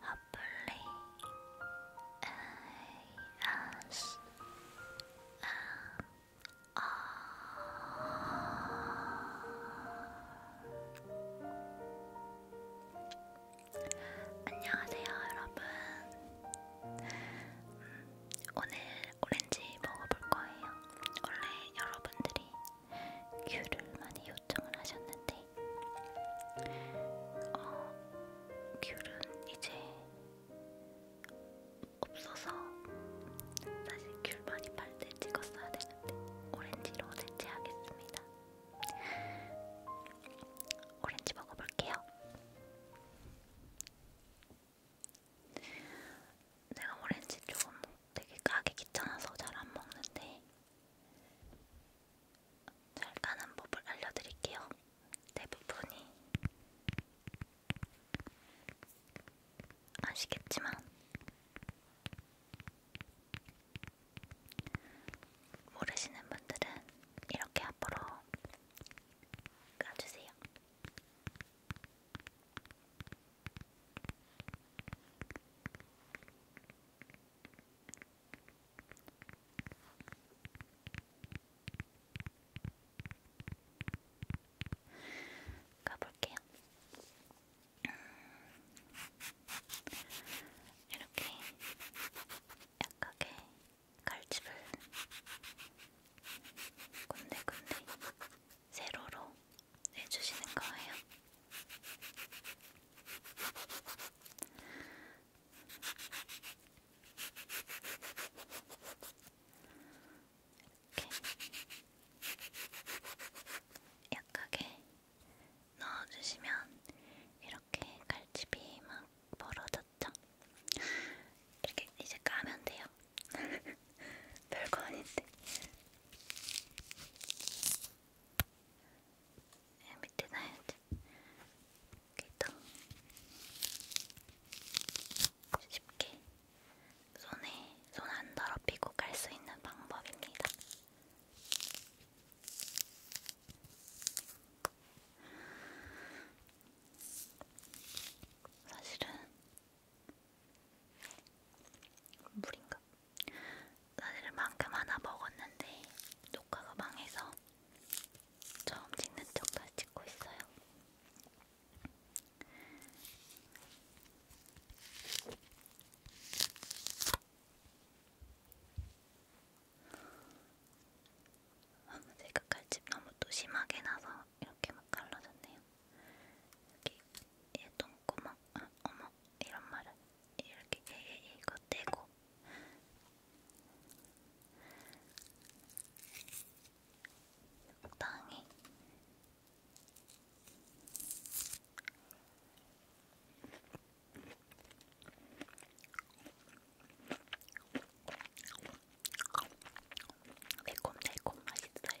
아플리 아스 아 안녕하세요 여러분 음, 오늘 오렌지 먹어볼 거예요. 원래 여러분들이 귤을 많이 요청을 하셨는데, 어, 귤은 이제 없어서 사실 귤 많이 팔 때 찍었어야 되는데 오렌지로 대체하겠습니다. 오렌지 먹어볼게요. 내가 오렌지 조금 되게 까기 귀찮아서 잘 안 먹는데 잘 까는 법을 알려드릴게요. 대부분이 아시겠지만 모르시는 분들은 이렇게 앞으로 까주세요. 가볼게요. 음, 이렇게 약하게 칼집을 군데군데 세로로 내주시는 거예요. 이렇게 약하게 넣어주시면 이렇게 칼집이 막 벌어져 좋죠? 이렇게 이제 까면 돼요. 별거 아닌데. 네, 밑에 놔야지. 이렇게 쉽게 손에 손 안 더럽히고 갈 수 있는 방법입니다. 사실은 물인가? 사실은 만큼 하나 먹었는데 녹화가 망해서 처음 찍는 척 다시 찍고 있어요. 제가 칼집 너무 또 심하게 나서 이렇게 막 갈라졌네요. 여기 얘 똥구멍, 아, 어머 이런 말을 이렇게 얘 이거 떼고 적당히 매콤달콤 맛있어요.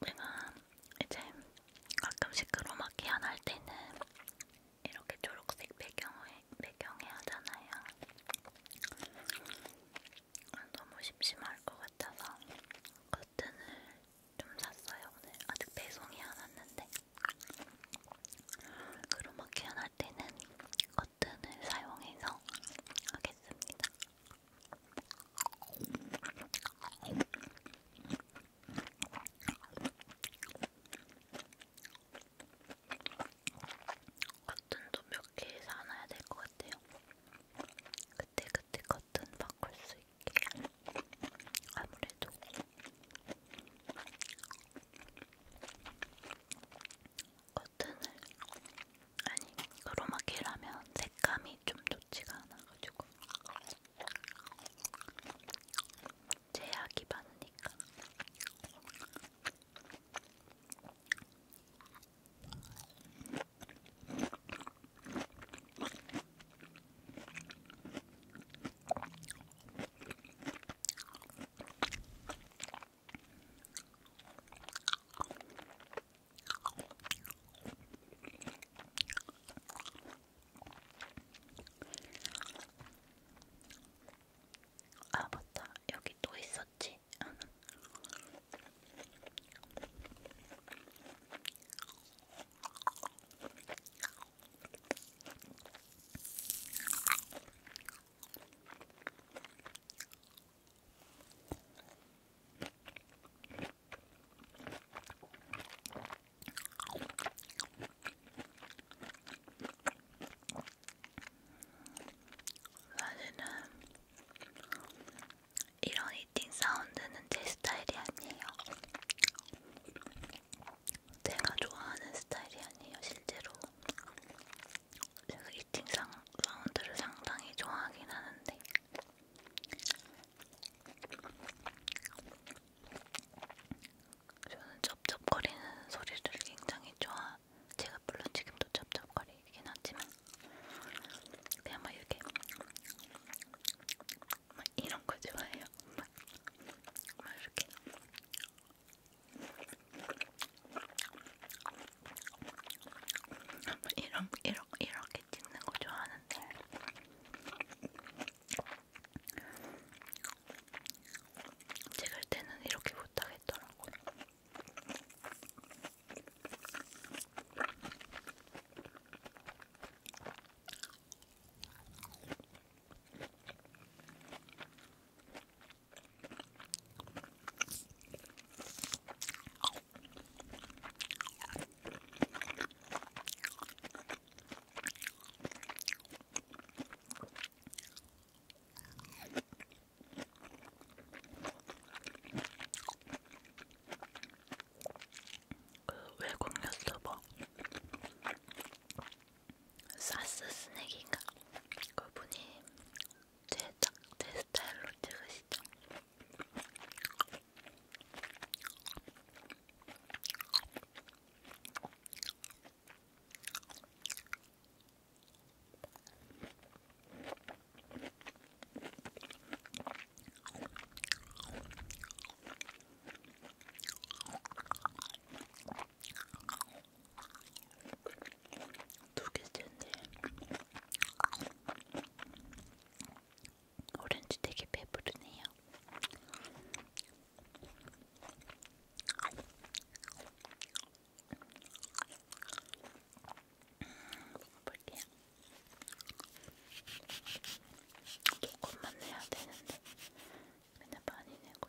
내가 이제 가끔씩 크로마키안 할 때는 이렇게 초록색 배경에, 배경에 하잖아요. 너무 심심할 것 같아서 커튼을 좀 샀어요. 오늘 아직 배송이 안 왔는데 크로마키안 할 때는 커튼을 사용해서 하겠습니다. 커튼 좀몇개 사놔야 될 것 같아요. 그때 그때 커튼 바꿀 수 있게 아무래도 커튼을 아니 크로마키를 하면 색감이 좀 좋지가 않아가지고 제약이 많으니까 아 맞다 여기 또 있었지 사실은 이런 이팅 사운드는 제 스타일이 아니에요. 제가 좋아하는 스타일이 아니에요, 실제로. 제가 이팅 사운드를 상당히 좋아하긴 하는데 저는 쩝쩝거리는 소리를 굉장히 좋아. 제가 물론 지금도 쩝쩝거리긴 하지만 그냥 막 이렇게 막 이런 거 좋아해요. 막, 막 이렇게 이런 이런 이렇게 찍는 거 좋아하는데 찍을 때는 이렇게 못하겠더라고. 그 외국 유튜버 뭐? 사스 스낵인가 그분이 제작제 스타일로 찍으신 두 개째인데 오렌지 되게 배부르네요. 볼게요. 조금만 내야 되는데 맨날 많이 내고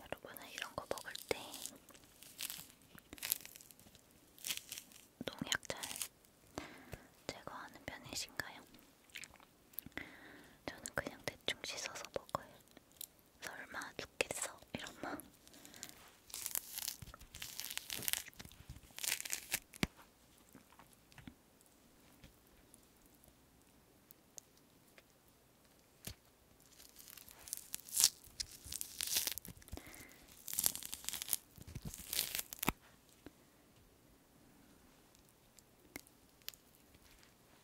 여러분은 이런 거 먹을 때 농약 잘 제거하는 편이신가요? 저는 그냥 대충 씻어서 먹어요. 설마 죽겠어? 이런 마음.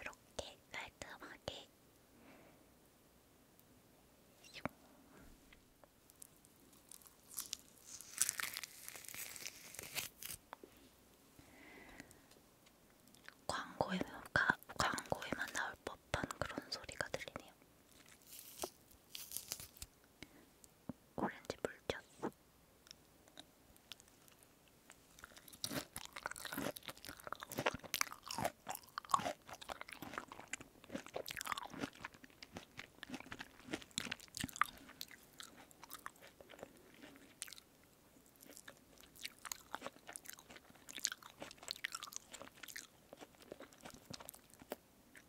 이렇게 깔끔하게 광고에만, 가, 광고에만 나올 법한 그런 소리가 들리네요. 오렌지 물 쳤어.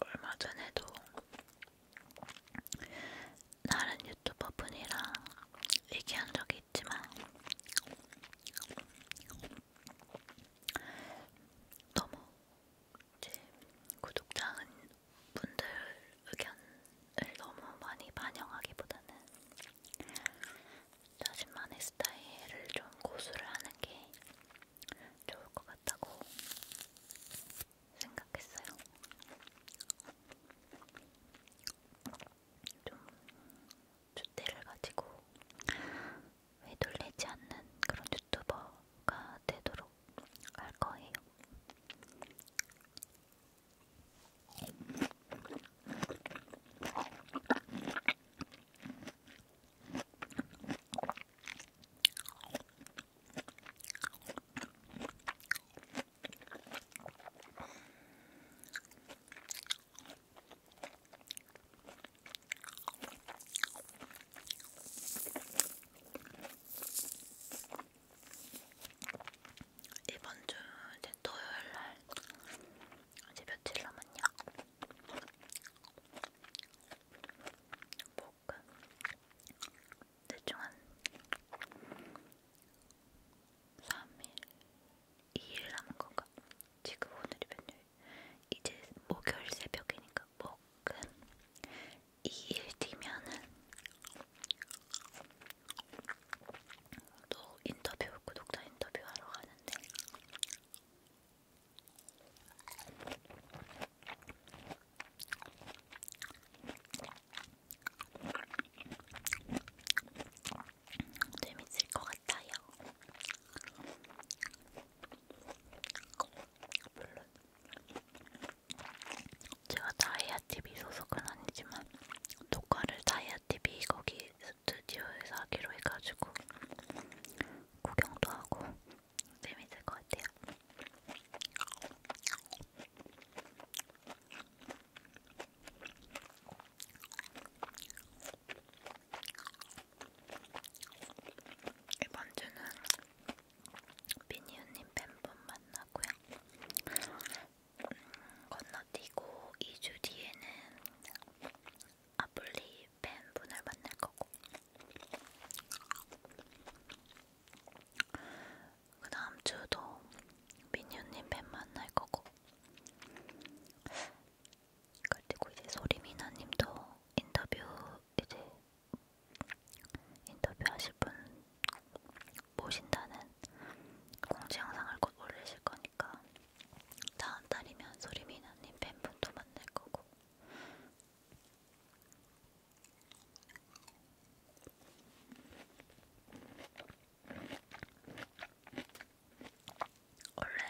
얼마 전에도 다른 유튜버 분이랑 얘기한 적이 있지만 너무 이제 구독자분 분들 의견을 너무 많이 반영하기보다는 자신만의 스타일을 좀 고수를 하는 게 좋을 것 같다고 생각했어요. 좀 줏대를 가지고 휘둘리지 않는 그런 유튜버가 되도록 할 거예요. 이번 주 이제 토요일 날 이제 며칠 남았냐? 뭐가 대충 한 3일 2일 남은 건가? 지금 오늘이 몇 일? 이제 목요일 새벽이니까 목은 2일 뒤면은 또 인터뷰 구독자 인터뷰하러 가는데 재밌을 것 같아요. 제가 다이아TV 소속은 아니지만 녹화를 다이아TV 거기 스튜디오에서 하기로 해가지고 구경도 하고 재밌을 것 같아요. 이번 주는 비니언님 팬분 만나고요. 음, 건너뛰고 2주 뒤에는 아블리 팬분을 만날 거고. 그 다음 주도 민유님 뱀 만날 거고 그리고 이제 소리미나님도 인터뷰 이제 인터뷰하실 분 모신다는 공지 영상을 곧 올리실 거니까 다음 달이면 소리미나님 팬분도 만날 거고. 원래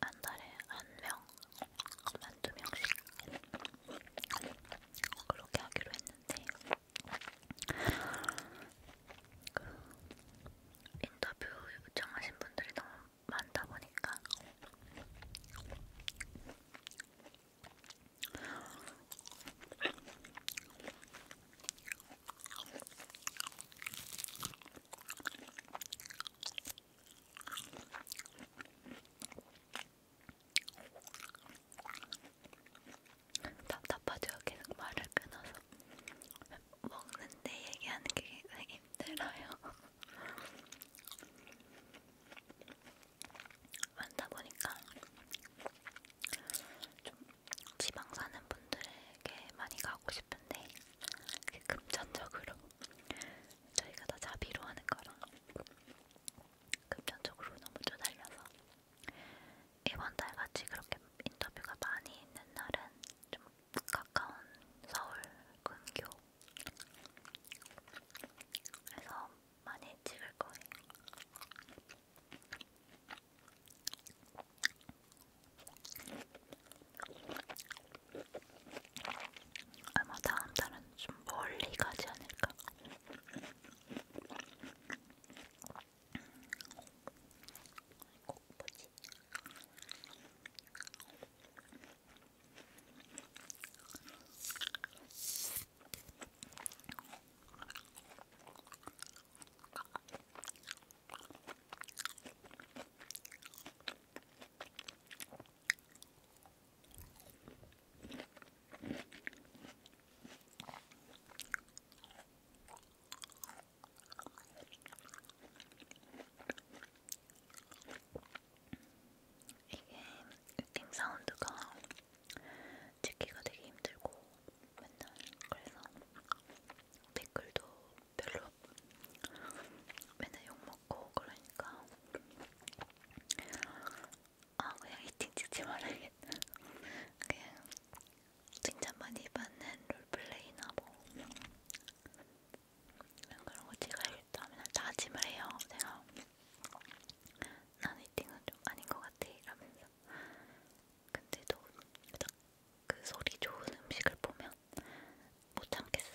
한 달에 한명한 두 명씩 그렇게 하기로 했는데 그 인터뷰 요청하신 분들이 너무 많다 보니까 답답하죠. 계속 말을 끊어서 먹는데 얘기하는 게 굉장히 힘들어요. 많다 보니까 좀 지방 사는 분들에게 많이 가고 싶은데 금전적으로 저희가 다 자비로 하는 거라 금전적으로 너무 쪼달려서 이번 달 같이 그렇게 인터뷰가 많이 있는 날은 좀 가까운 서울 근교 그래서 많이 찍을 거예요. 아마 다음 달은 좀 멀리 가지 않을까. 꼭 뭐지? 이게 으팅 사운드가 찍기가 되게 힘들고 맨날 그래서 댓글도 별로 맨날 욕먹고 그러니까 아 그냥 히팅 찍지 말아야겠다 그냥 칭찬 많이 받는 롤플레이나 뭐 그런 거 찍어야겠다 맨날 다짐을 해요 제가 난 히팅은 좀 아닌 것 같아 이러면서 있어요. 근데도 그 소리 좋은 음식을 보면 못 참겠어요.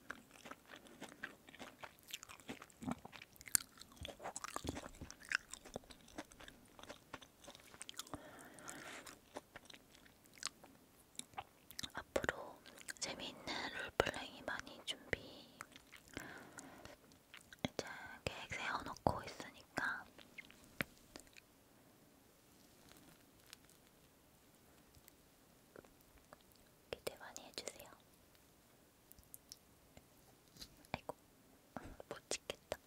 앞으로 재미있는 롤플레이 많이 준비 이제 계획 세워놓고 있으니까 기대 많이 해주세요. 아이고, 못 찍겠다.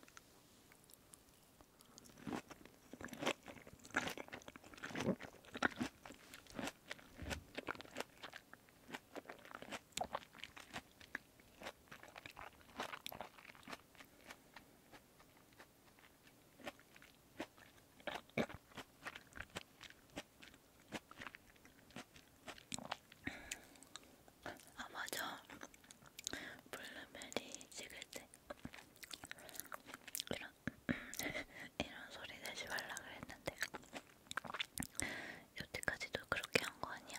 아 맞아 블루베리 찍을 때 이런 이런 소리 내지 말라 그랬는데 여태까지도 그렇게 한 거 아니야?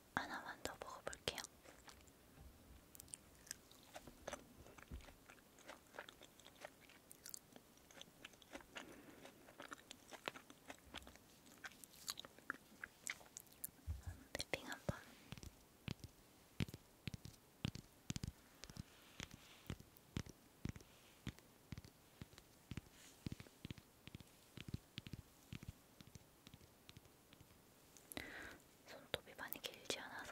하나만 더 먹어볼게요. 랩핑 한번. 손톱이 많이 길지 않아서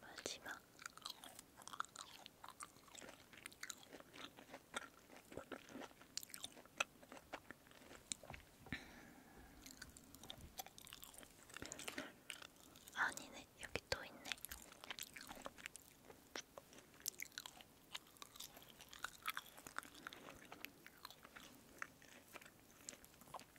마지막 아니네 여기 또 있네.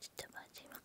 진짜 마지막.